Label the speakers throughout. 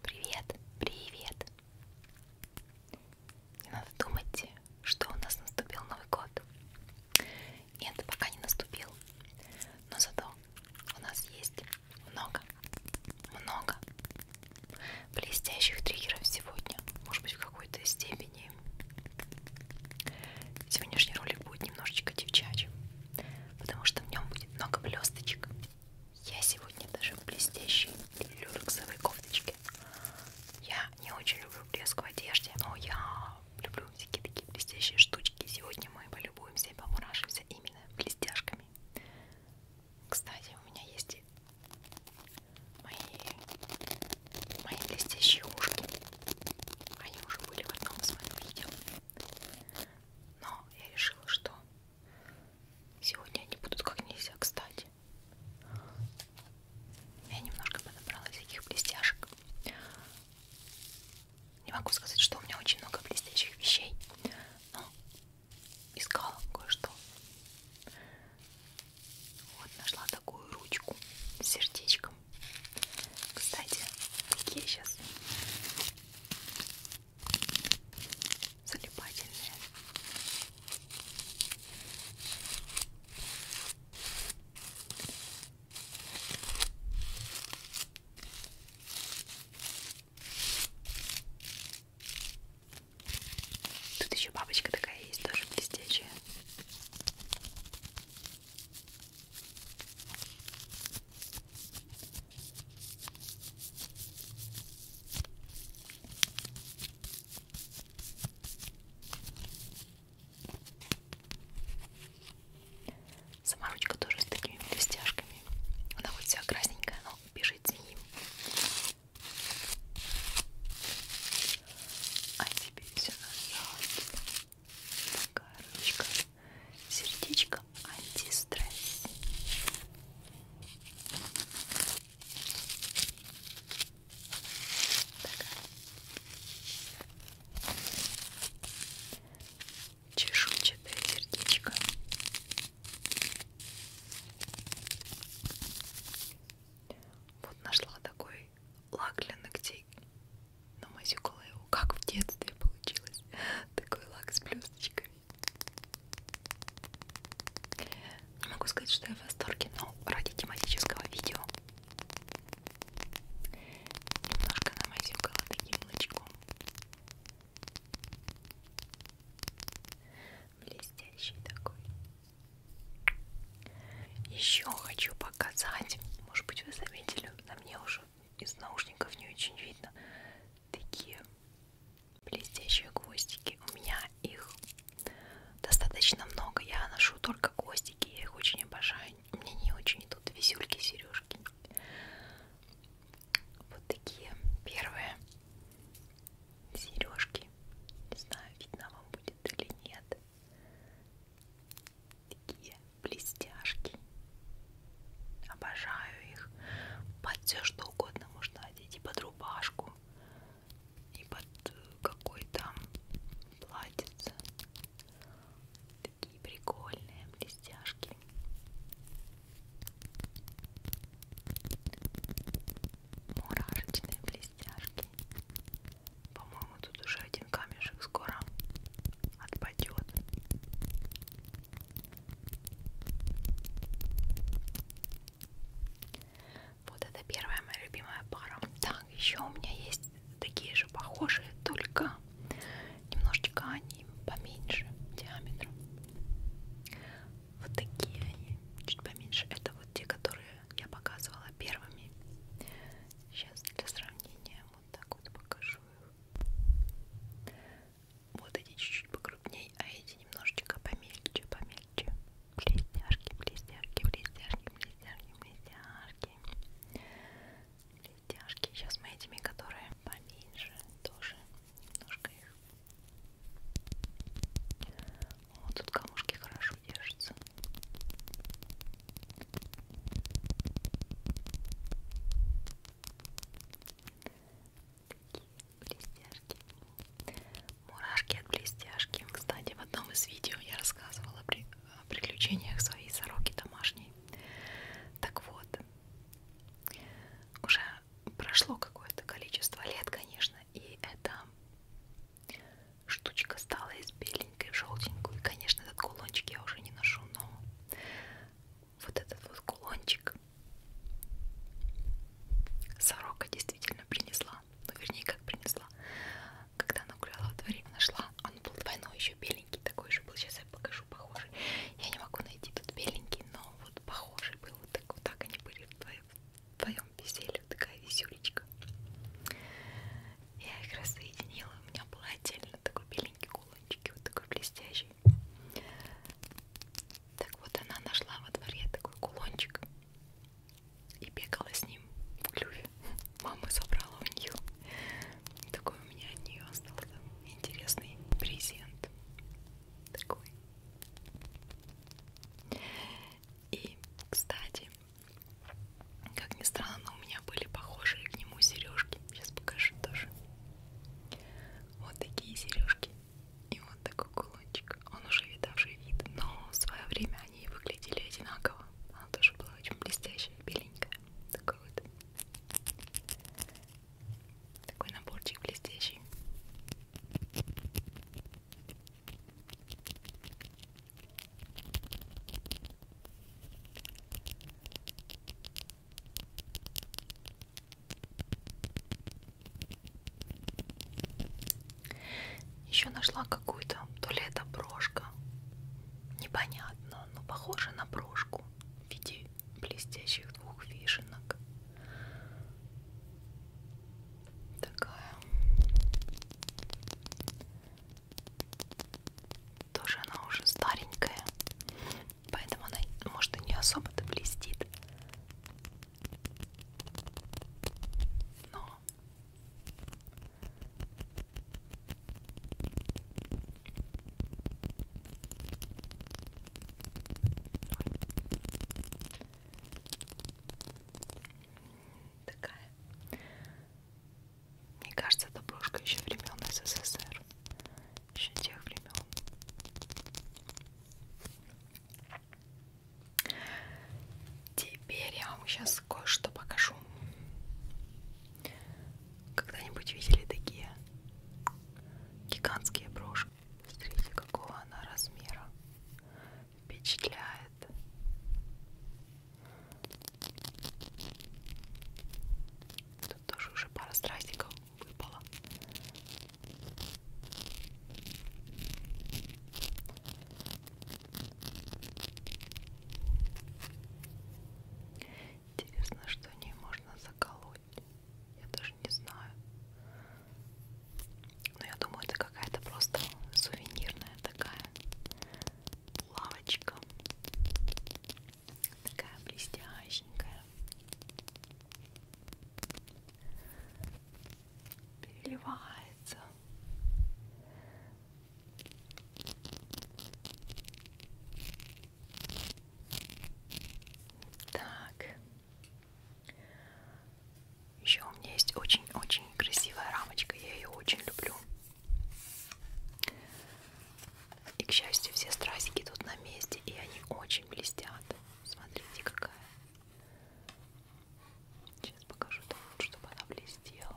Speaker 1: Привет, привет. Не надо думать, что у нас наступил Новый год. Нет, пока не наступил. Но зато у нас есть много, много блестящих триггеров сегодня. Может быть, в какой-то степени сегодняшний ролик будет немножечко девчачьим потому что в нем будет много блесточек. Я сегодня даже в блестящей люрексовой кофточке. Я не очень люблю блеск в одежде, но я люблю всякие такие блестящие штучки. Сегодня мы полюбуемся и помурашимся именно блестяшками. Кстати, у меня есть и мои, мои блестящие ушки. Они уже были в одном из моих видео. Но я решила, что сегодня они будут как нельзя кстати. Я немножко подобрала всяких блестяшек. Не могу сказать, что у меня очень много блестящих вещей, но искала кое-что. Вот нашла такую ручку с сердечком. Кстати, такие сейчас залипательные. Тут еще бабочка такая есть, тоже блестящая. Саморучка тоже с такими блестяшками. Она вот вся красненькая, но бежит за ним. А теперь все назад такая ручка сердечко антистресс чешуйчатое сердечко вот нашла такой лак для ногтей но мазюкала его, как в детстве получилось. Такой лак с блесточками. Не могу сказать, что я в восторге, но ради тематического видео немножко намазюкала таким лучком. Блестящий такой. Еще хочу показать. Может быть, вы заметили, на мне уже из наушников не очень видно, такие блестящие гвоздики. У меня их достаточно много. Я ношу только гвоздики, я их очень обожаю. Мне не очень идут висюльки, сережки. Вот такие первые сережки. Не знаю, видно вам будет или нет такие блестяшки. Обожаю их. Под все что угодно можно одеть. И под рубашку, и под э, какой-то платьице. Такие прикольные блестяшки. Мурашечные блестяшки. По-моему, тут уже один камешек скоро отпадет. Вот это первая моя любимая пара. Так, еще у меня есть такие же похожие, только немножечко они поменьше диаметра. Вот такие они, чуть поменьше. Это вот те, которые я показывала первыми. Сейчас для сравнения вот так вот покажу их. Вот эти чуть-чуть покрупнее, а эти немножечко помельче, помельче. Блестяшки, блестяшки, блестяшки, блестяшки, блестяшки. Блестяшки. Сейчас мы этими, которые поменьше, тоже немножко их. Вот тут камушки хорошо держатся блестяшки мурашки от блестяшки кстати в одном из видео я рассказывала о приключениях своей сороки домашней так вот уже прошло какое-то количество лет конечно и эта штучка стала из беленькой в желтенькую конечно этот кулончик я уже не ношу но вот этот вот кулончик сорока действительно принесла, ну вернее как принесла, когда она гуляла во дворе, нашла, а он был двойной еще беленький, такой же был, сейчас я покажу похожий, я не могу найти тут беленький, но вот похожий был, вот так вот так они были в твоем, в твоем веселье, такая веселечка. Я их раз соединила, у меня был отдельно такой беленький кулон баллончики, вот такой блестящий. Так вот она нашла во дворе такой кулончик и бегала с ним в клюве. Мама забрала у нее. Такой у меня от нее остался интересный презент. Такой. И, кстати, как ни странно, у меня были похожие к нему сережки. Сейчас покажу тоже. Вот такие сережки и вот такой кулончик. Он уже видавший вид, но в свое время они выглядели одинаково. Она тоже была очень блестящая, беленькая. Такой вот. Такой наборчик блестящий. Еще нашла какую-то, то ли это брошка, непонятно, но похоже на брошку в виде блестящих двух вишенок. Такая. Тоже она уже старенькая. Поэтому она, может, и не особо-то блестит. Но такая. Мне кажется, это брошка еще времен СССР еще тех времен. Теперь я вам сейчас кое-что покажу. Когда-нибудь видели такие гигантские брошки? Смотрите, какого она размера. Впечатляет. Это тут тоже уже пара страстиков выпала. Интересно, что ней можно заколоть. Я даже не знаю. Но я думаю, это какая-то просто сувенирная такая лавочка такая блестященькая переливается так еще у меня есть очень-очень красивая рамочка я ее очень люблю и, к счастью, все страсики тут на месте, и они очень блестят. Смотрите, какая. Сейчас покажу, так вот, чтобы она блестела.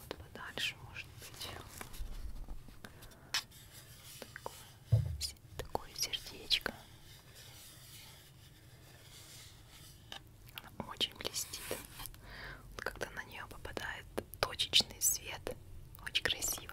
Speaker 1: Вот подальше, может быть. Такое, такое сердечко. Она очень блестит. Вот когда на нее попадает точечный свет. Очень красиво.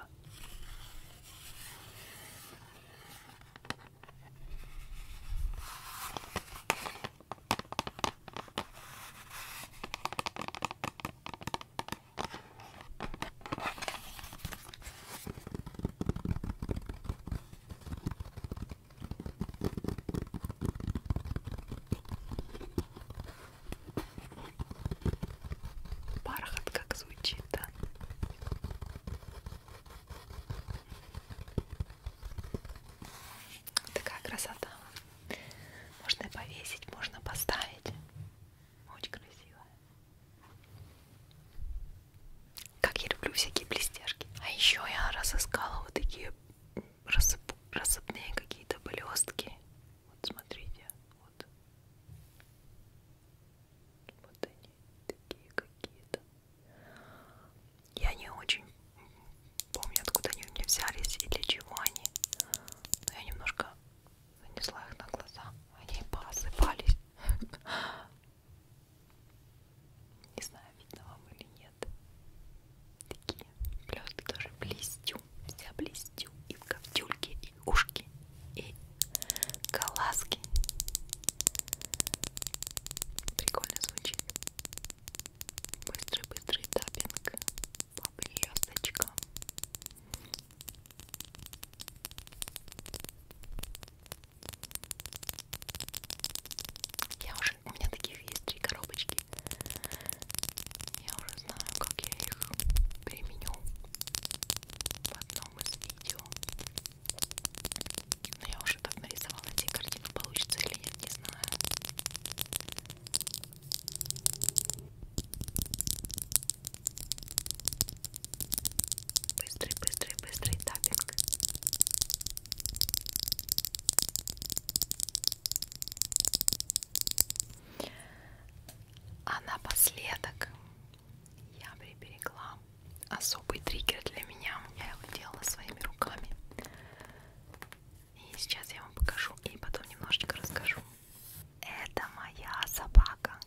Speaker 1: Бархат как звучит, да? Такая красота. Можно повесить, можно поставить. Очень красиво. Как я люблю всякие блестяшки. А еще я разыскала вот такие рассып... рассыпные какие-то блестки. Вот смотрите. Вот. Вот они такие какие-то. Я не очень помню, откуда они мне взялись и для чего они. Но я немножко нанесла их на глаза. Они посыпались. Не знаю, видно вам или нет. Такие Просто тоже блестю, вся блестю. И в ковтюльке, и ушки, и коласки. Прикольно звучит. Быстрый-быстрый таппинг по блесточкам. Я уже, у меня таких есть три коробочки. Я уже знаю, как я их применю в одном из видео. Но я уже так нарисовала эти картины, получится или нет, не знаю. Быстрый, быстрый, быстрый тапинг. А напоследок я приберегла особый триггер для меня. Я его делала своими руками. И сейчас я вам покажу и потом немножечко расскажу. Это моя собака,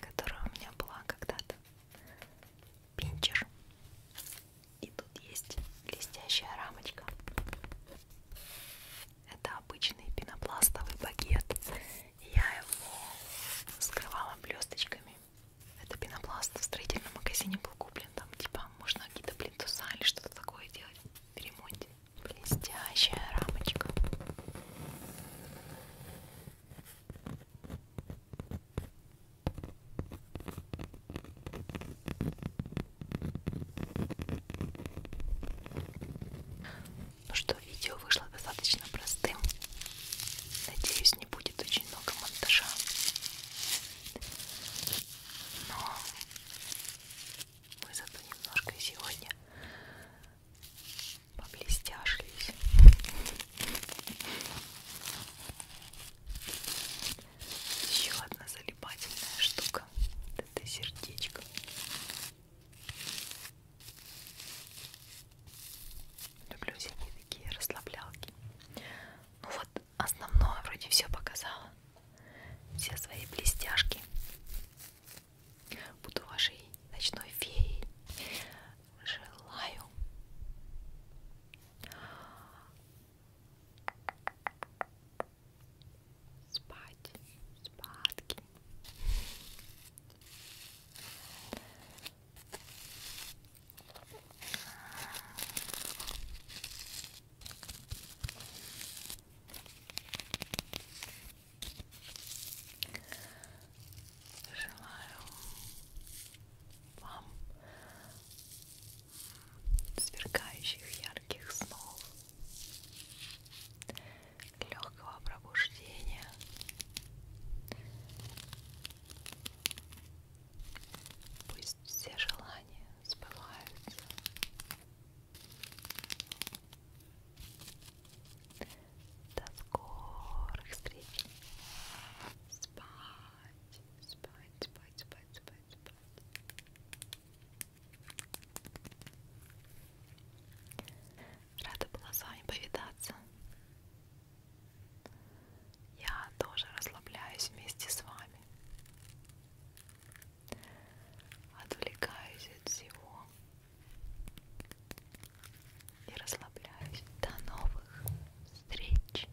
Speaker 1: которая у меня была когда-то. Пинчер. И тут есть блестящая рамочка. Это обычный пенопластовый багет. Я его скрывала блесточками. Это пенопласт в строительном магазине был куплен. Там типа можно какие-то плинтуса или что-то такое делать в ремонте. Блестящая рамочка. Ну что, видео вышло достаточно простым. Надеюсь, не будет очень много монтажа. Но мы зато немножко сегодня поблестяшлись. Еще одна залипательная штука. Это сердечко. Люблю всякие такие расслаблялки. Ну вот основное вроде все показала. Все свои блестяшки. Буду вашей ночной феей. Желаю спать, спадки. Желаю вам сверкающих ярких снов легкого пробуждения. Пусть все желания сбываются. До скорых встреч. Спать, спать, спать, спать, спать, спать. Рада была с вами повидаться. Я тоже расслабляюсь вместе с вами. Отвлекаюсь от всего и расслабляюсь. До новых встреч!